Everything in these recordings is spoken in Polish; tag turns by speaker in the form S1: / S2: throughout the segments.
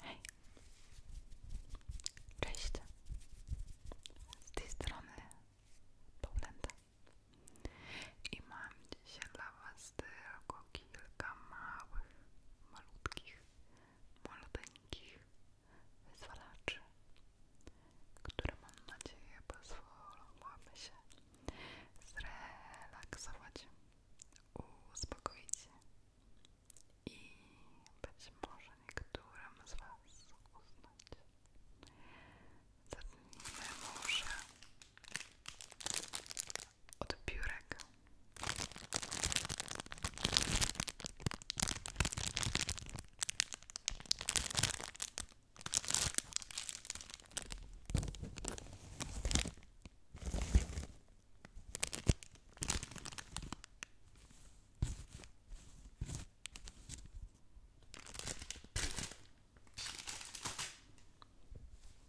S1: Hej, cześć, z tej strony Paulenta i mam dzisiaj dla Was tylko kilka małych, malutkich, maluteńkich wyzwalaczy, które mam nadzieję pozwolą Wam się zrelaksować uspokoić i być może niektórym z Was uznać. Zacznijmy może od piórek.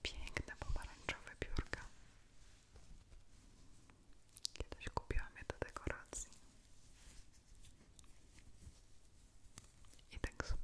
S1: Piękne pomarańczowe piórka. Kiedyś kupiłam je do dekoracji. I tak sobie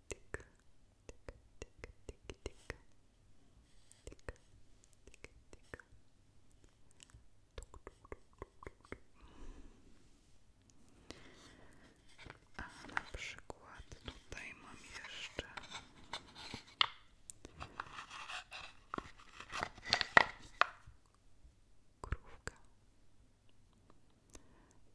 S1: Tak, tak, tak, tak, tak, tak, tak, tak, tak. tyk. Tuk, tuk, tuk, tuk. A na przykład tutaj mam jeszcze krówkę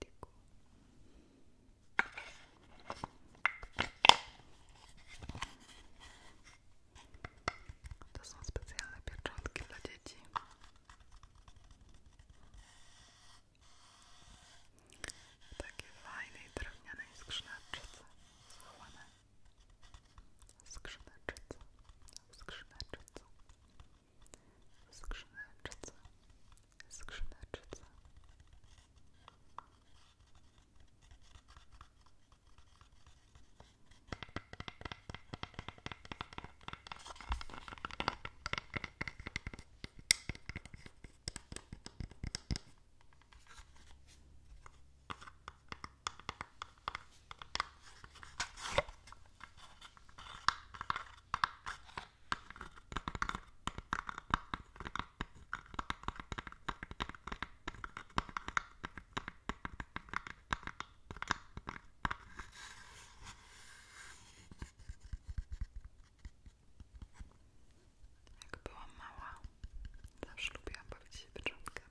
S1: Tyku, To są specjalne pieczątki dla dzieci. W takiej fajnej drewnianej skrzyneczce schowane. Skrzyneczce. Skrzyneczce skrzyneczce, skrzyneczce. Jak byłam mała, zawsze lubiłam bawić się pieczątkami.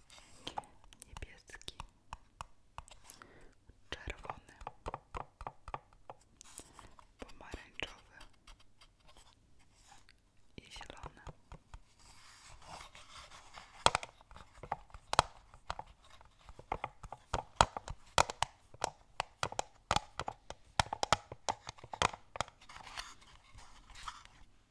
S1: niebieski, czerwony, pomarańczowy i zielony.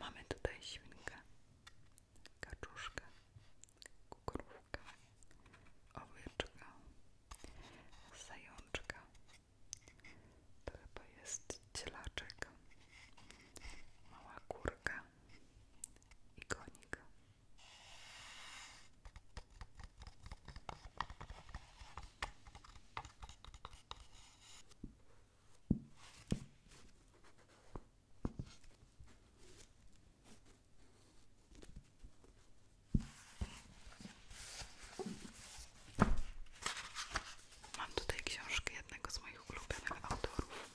S1: Mamy tutaj świnkę, kaczuszkę, kukurówkę, owieczkę, zajączka to chyba jest cielaczek mała kurka i konik Mam tutaj książkę jednego z moich ulubionych autorów.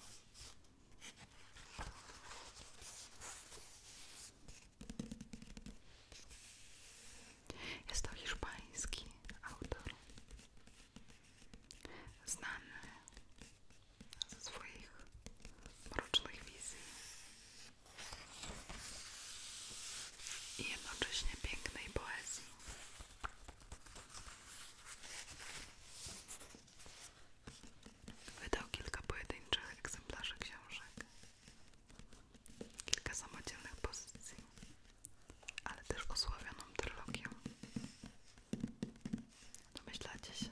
S1: Jest to hiszpański autor, znany ze swoich mrocznych wizji, i jednocześnie pięknej poezji. Wydał kilka pojedynczych egzemplarzy książek, kilka samodzielnych pozycji, ale też osławioną trylogię. Domyślacie się,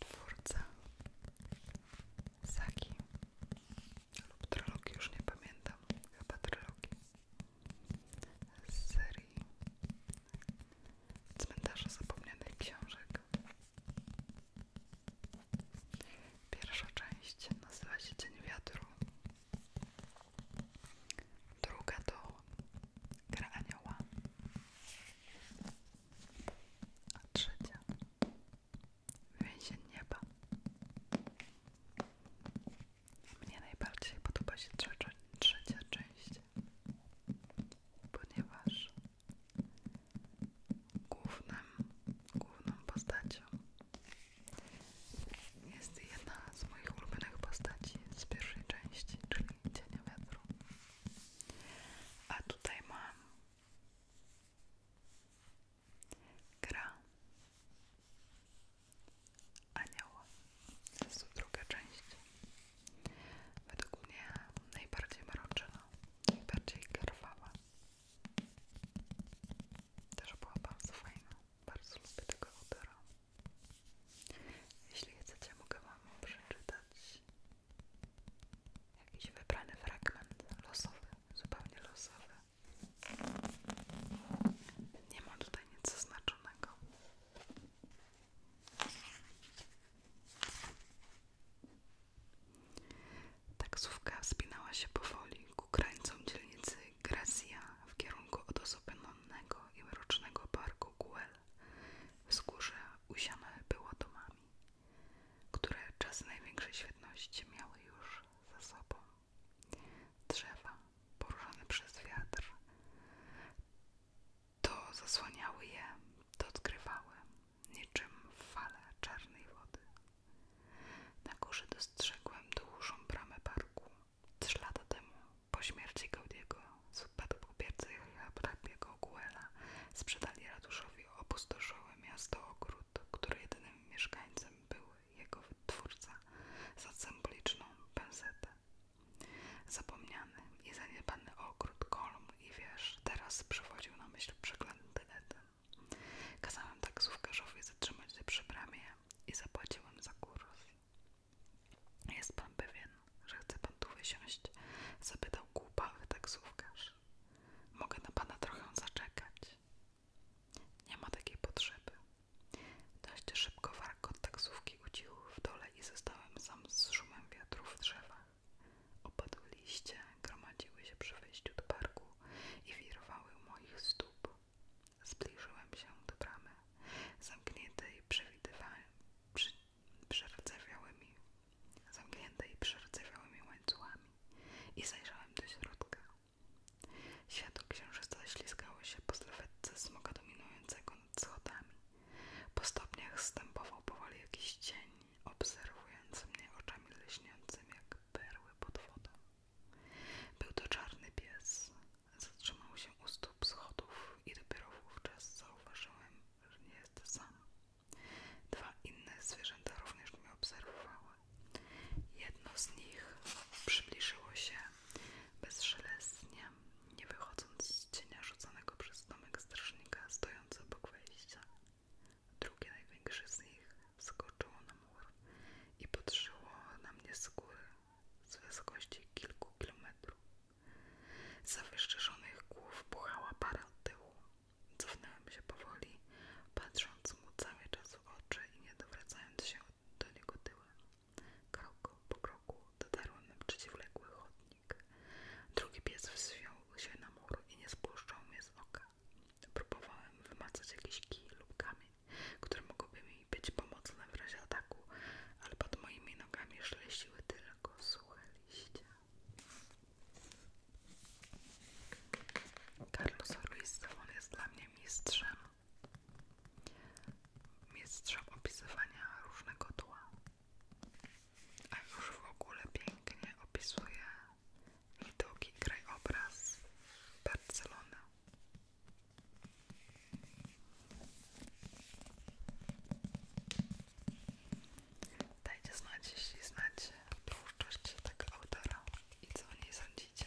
S1: twórca Saki lub trylogii, już nie pamiętam, chyba trylogii z serii Cmentarza Zapomnianych Książek. Pierwsza część nazywa się Dzień Wiatru, druga to Gra Anioła. A trzecia więzień nieba. Mnie najbardziej podoba się trzecia, część, ponieważ głównym, główną postacią jest jedna z moich ulubionych postaci z pierwszej części, czyli Cienia Wiatru. A tutaj mam. Gra Anioła. To jest druga część. Według mnie najbardziej mroczna, najbardziej krwawa. Też była bardzo fajna. Bardzo lubię tego autora. Jeśli chcecie, mogę Wam przeczytać Jakiś wybrany fragment, losowy, zupełnie losowy. Nie ma tutaj nic zaznaczonego. Taksówka wspinała się powoli ku krańcom dzielnicy Gracia w kierunku odosobnionego i mrocznego parku Guel. Wskórze usiane było domami które czas największej świetności miały już za sobą. Drzewa poruszane przez wiatr to zasłaniały je, to odkrywały, niczym fale czarnej wody. Na górze dostrzegłem dużą bramę parku. Trzy lata temu, po śmierci Gaudiego, z spadkobiercy hrabiego Guela sprzedali ratuszowi opustoszałe miasto ogród, który jedynym mieszkańcem był jego twórca, za symboliczną pensetę. Zapomniany i zaniedbany ogród, kolumn i wież teraz przywodził na myśl przegląd Eden. Kazałem taksówkarzowi zatrzymać się przy bramie i zapłaciłem za kurs. Jest pan pewien, że chce pan tu wysiąść? Zapytał głupawy taksówkarz. Mogę na pana trochę zaczekać. Nie ma takiej potrzeby. Dość szybko warkot taksówki ucichł w dole i zostałem sam z szumem wiatru w drzewach. Opadły liście, gromadziły się przy wejściu do parku i wirowały moich stóp. Zbliżyłem się do bramy, zamkniętej przewidywalnie, przy, przerdzewiałymi, zamkniętej przerdzewiałymi łańcuchami i zajrzałem do środka. Światło księżyca ślizgało się po sylwetce smoka dominującego nad schodami. Po stopniach stępował powoli jakiś cień, obserwujący mnie oczami lśniącymi jak perły pod wodą. Był to czarny pies. Zatrzymał się u stóp schodów i dopiero wówczas zauważyłem, że nie jest sama. Dwa inne zwierzęta również mnie obserwowały. Jedno z nich przybliżyło się bezszelestnie, nie wychodząc z cienia rzuconego przez domek strażnika stojącego obok wejścia. Drugie, największe z nich skoczyło na mur i potrzyło na mnie skóry z wysokości kilku kilometrów. Z zawyszczyszonych głów buchała para od tyłu. Cofnąłem się powoli, patrząc mu cały czas w oczy i nie dowracając się do niego tyłem. Krok po kroku dotarłem na przeciwległy chodnik. Drugi pies wziął się na mur i nie spuszczał mnie z oka. Próbowałem wymacać jakiś kij lub kamień, które mogłyby mi być pomocne w razie ataku, ale pod moimi nogami szleściły tylko suche oczywiście. Carlos Ruiz on jest dla mnie mistrzem. Mistrzem opisywania różnego tła. A już w ogóle pięknie opisuje widoki krajobraz Barcelony. Dajcie znać, jeśli znacie twórczość tego autora i co o sądzicie.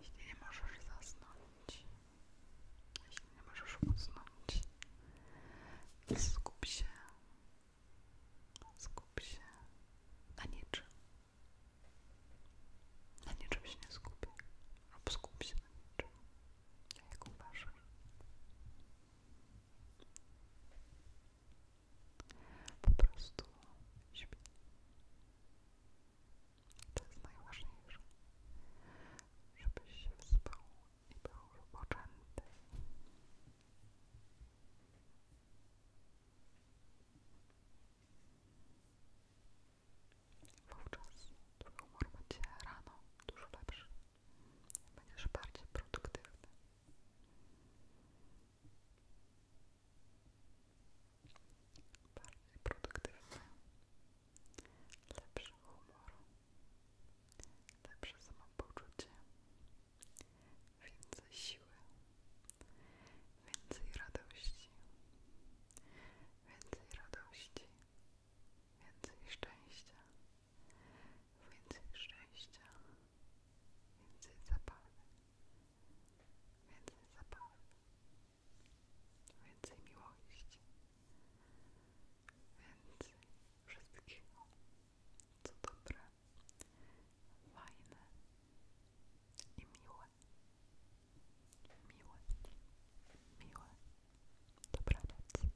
S1: Jeśli nie możesz zasnąć, jeśli nie możesz usnąć, skup się, skup się na niczym. Na niczym się nie skupię, albo skup się na niczym. Jak uważasz? Po prostu śpię. To jest najważniejsze, żebyś się wyspał i był wypoczęty. Wówczas twój humor będzie rano dużo lepszy. Będziesz bardziej produktywny bardziej produktywny, lepszy humor, lepsze samopoczucie, więcej siły, więcej radości, więcej radości, więcej szczęścia, więcej szczęścia, Więcej zabawy. Więcej zabawy. Więcej miłości. Więcej wszystkiego, co dobre, fajne i miłe. Miłe. Miłe. Dobranoc.